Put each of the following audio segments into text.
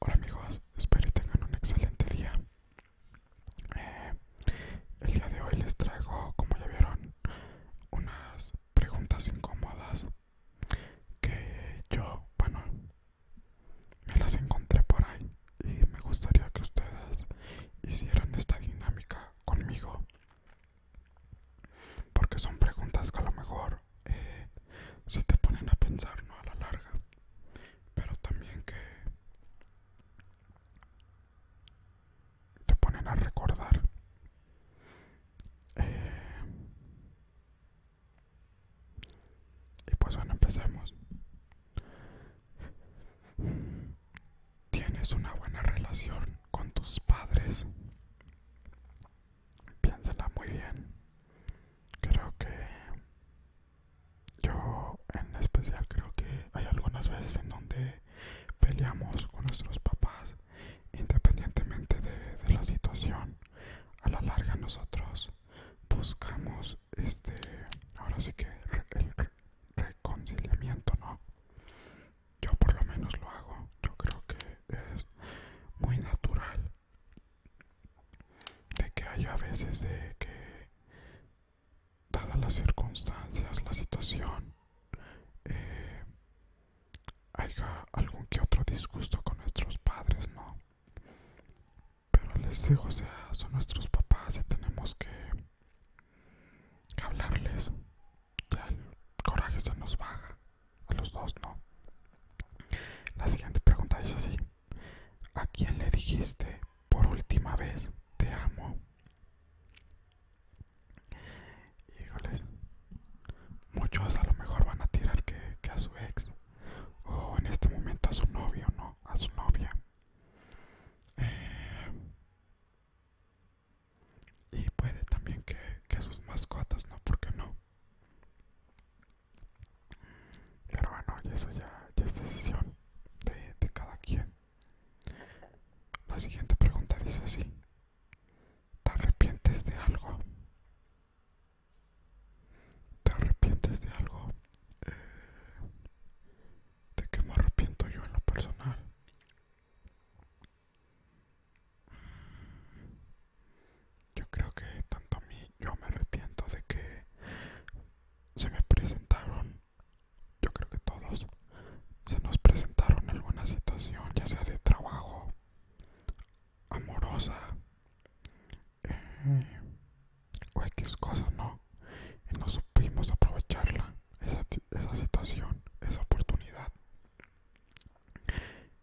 Hola amigos, espero que tengan un excelente día. Eh, el día de hoy les traigo, como ya vieron, unas preguntas incómodas que yo, bueno, me las encontré por ahí y me gustaría que ustedes hicieran esta dinámica conmigo porque son preguntas que a lo mejor eh, te ponen a pensar, no a la larga. Pero también que te ponen a recordar. Eh, y pues bueno, empecemos tienes una buena relación con tus padres, piénsala muy bien. Creo que yo en especial creo que hay algunas veces en donde peleamos con nuestros papás independientemente de, de la situación. A la larga nosotros buscamos este, ahora sí que el reconciliamiento, ¿no? Yo por lo menos lo hago. Yo creo que es muy natural de que haya veces de que, dadas las circunstancias, la situación, eh, haya algún que otro disgusto con nuestros padres, ¿no? Pero les digo, o sea, son nuestros papás y tenemos que hablarles. el coraje se nos baja. A los dos no. La siguiente pregunta es así. ¿A quién le dijiste por última vez te amo? Y Híjoles. Muchos a lo mejor van a tirar que, a su ex. O en este momento a su novio, ¿no? A su novia. Eh, y puede también que, sus mascotas, ¿no? ¿Por qué no? Pero bueno, y eso ya, es decisión de, cada quien. La siguiente pregunta dice así. ¿Te arrepientes de algo? ¿Te arrepientes de algo? Eh, de que me arrepiento yo en lo personal. Yo creo que tanto a mí, yo me arrepiento de que se me presentaron, yo creo que todos, se nos presentaron alguna situación, ya sea de trabajo, amorosa, eh, o X cosas, ¿no? y no supimos aprovecharla, esa, situación, esa oportunidad.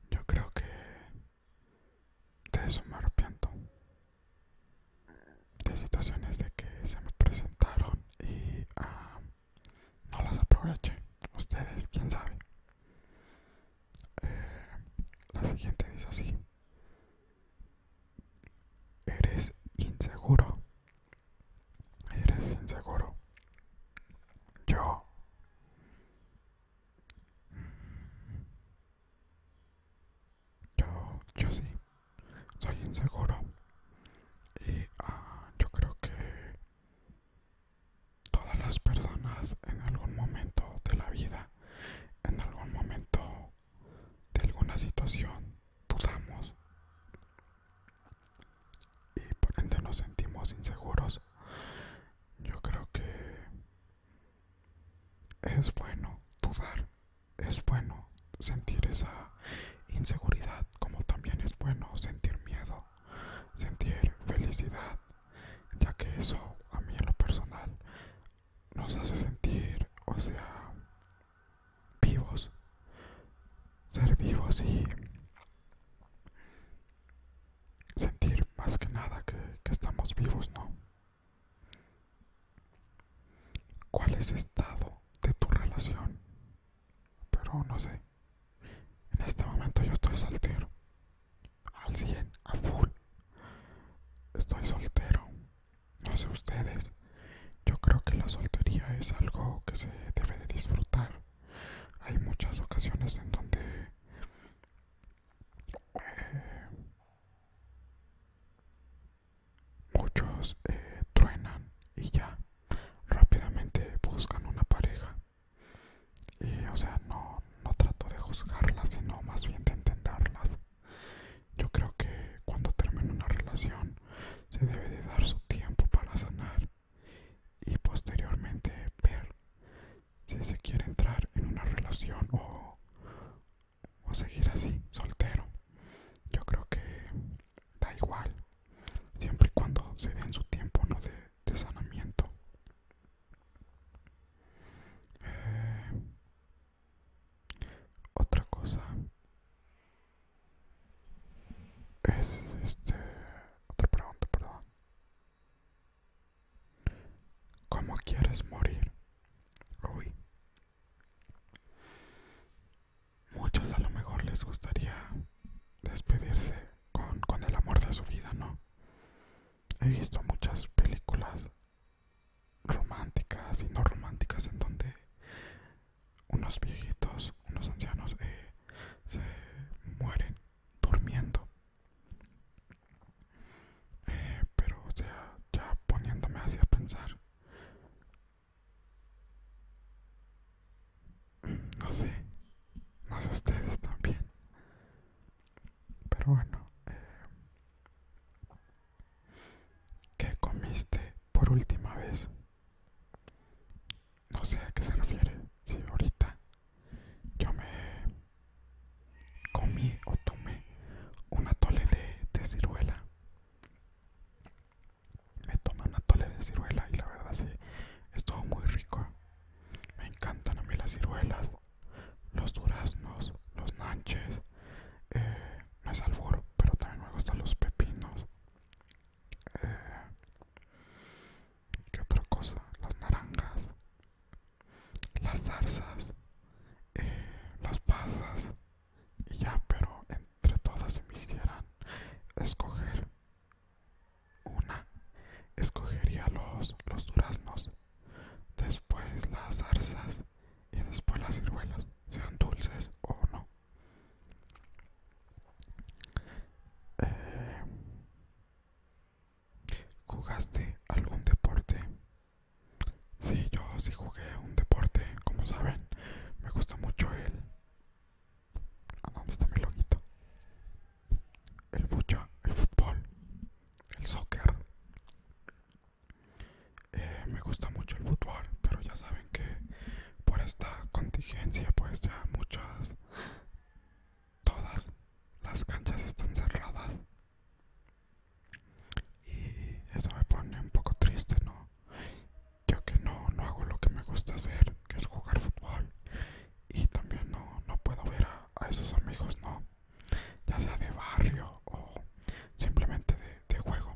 Yo creo que de eso me arrepiento. De situaciones de que se me presentaron y ah, no las aproveché. Ustedes, quién sabe. Eh, la siguiente dice así. Eres inseguro. Eres inseguro. Yo... Yo, yo sí. Soy inseguro. Y ah, yo creo que todas las personas en algún momento de la vida, en algún momento de alguna situación dudamos y por ende nos sentimos inseguros, yo creo que es bueno dudar, es bueno sentir esa inseguridad, como también es bueno sentir miedo, sentir felicidad, ya que eso a mí en lo personal nos hace sentir, o sea, vivos, ser vivos y sentir más que nada que, estamos vivos, ¿no? ¿Cuál es el estado de tu relación? Pero no sé. En este momento yo estoy soltero. Al 100, a full. Estoy soltero. No sé ustedes, yo creo que la soltería es algo que se debe de disfrutar. Hay muchas ocasiones en donde eh, muchos eh, truenan y ya rápidamente buscan una pareja. Y o sea, no, no trato de juzgarlas, sino más bien de entenderlas. Yo creo que cuando termina una relación se debe de dar su tiempo para sanar y posteriormente ver si se quiere entrar en una relación o, o seguir así, soltero. Yo creo que da igual, siempre y cuando se den su tiempo de, sanamiento. Eh, otra cosa es este otra pregunta, perdón. ¿Cómo quieres morir? Uy. Muchos a lo mejor les gustaría despedirse con, con el amor de su vida, ¿no? He visto muchas películas románticas y no románticas en donde unos viejitos, unos ancianos eh, se mueren durmiendo. Eh, pero o sea, ya poniéndome así a pensar, no sé, no sé ustedes también. Pero bueno, eh, que comiste por última vez? No sé a qué se refiere. Si ahorita yo me comí o tomé una tole de, ciruela. Me tomé una tole de ciruela y la verdad sí, estuvo muy rico. Me encantan a mí las ciruelas los duraznos, los nanches, eh, no es albor, pero también me gustan los pepinos. Eh, ¿Qué otra cosa? Las naranjas, las zarzas, eh, las pasas y ya, pero entre todas se me hicieran escoger una, escogería los duraznos después las zarzas y después las ciruelas, sean dulces o no. Eh, ¿Jugaste algún deporte? Sí, yo sí jugué un deporte, como saben, me gusta mucho el... ¿A dónde está mi loguito? El fucha, el fútbol, el soccer, eh, me gusta mucho el fútbol pero ya saben que por esta contingencia pues ya muchas todas las canchas están cerradas y eso me pone un poco triste no yo que no, hago lo que me gusta hacer que es jugar fútbol y también no, puedo ver a esos amigos no ya sea de barrio o simplemente de, juego.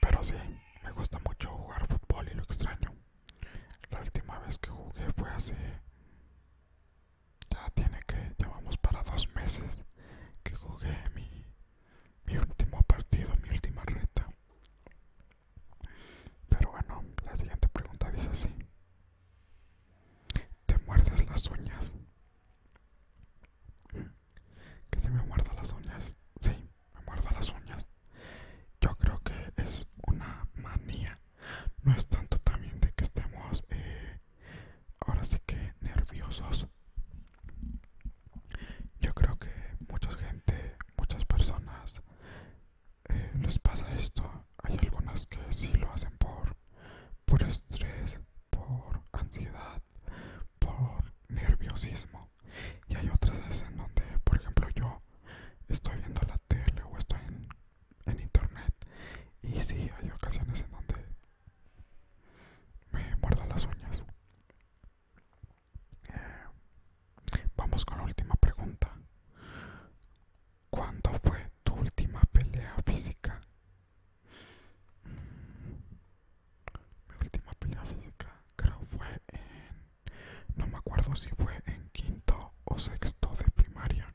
Pero sí, me gusta mucho jugar fútbol y lo extraño. La última vez que jugué fue hace... Ya tiene que, llevamos para dos meses que jugué mi, mi último partido, mi última reta. Pero bueno, la siguiente pregunta dice así. Te muerdes las uñas. Que si me muerdo las uñas. Sí, me muerdo las uñas. Yo creo que es una manía. No es tanto también de que estemos eh, ahora sí que nerviosos. Yo creo que mucha gente, muchas personas eh, les pasa esto hay algunas que sí lo hacen por, por estrés, por ansiedad, por nerviosismo. Y hay otras veces en donde, por ejemplo, yo estoy viendo la tele o estoy en, internet. Y sí, hay ocasiones en donde me muerdo las uñas. Eh, vamos con la última pregunta. ¿Cuándo fue tu última pelea física? Mm, mi última pelea física creo fue en... No me acuerdo si fue en quinto o sexto de primaria.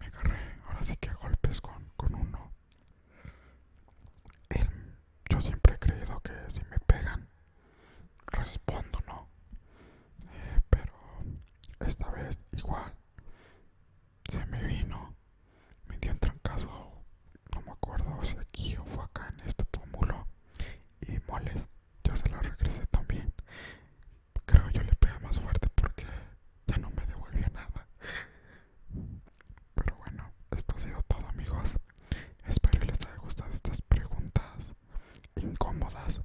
Me agarré, ahora sí que golpes con, uno. yo siempre he creído que si me pegan, respondo, ¿no? Eh, pero esta vez igual. Se me vino. Me dio un trancazo. No me acuerdo si aquí o fue acá en este pómulo. Y moles. Ya se lo regresé también. Creo yo le pegué más fuerte porque ya no me devolvió nada. Pero bueno, esto ha sido todo amigos. Espero les haya gustado estas preguntas incómodas.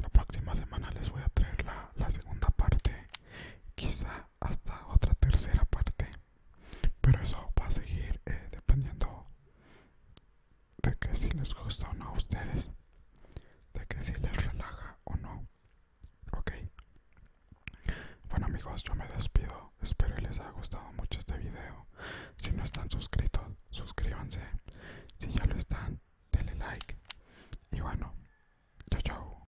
La próxima semana les voy a traer la, segunda parte, quizá hasta otra tercera parte, pero eso va a seguir eh, dependiendo de que si les gusta o no a ustedes, de que si les relaja o no. Ok. Bueno amigos, yo me despido. Espero les haya gustado mucho este video. Si no están suscritos, suscríbanse. Si ya lo están, denle like. Y bueno, chao chao.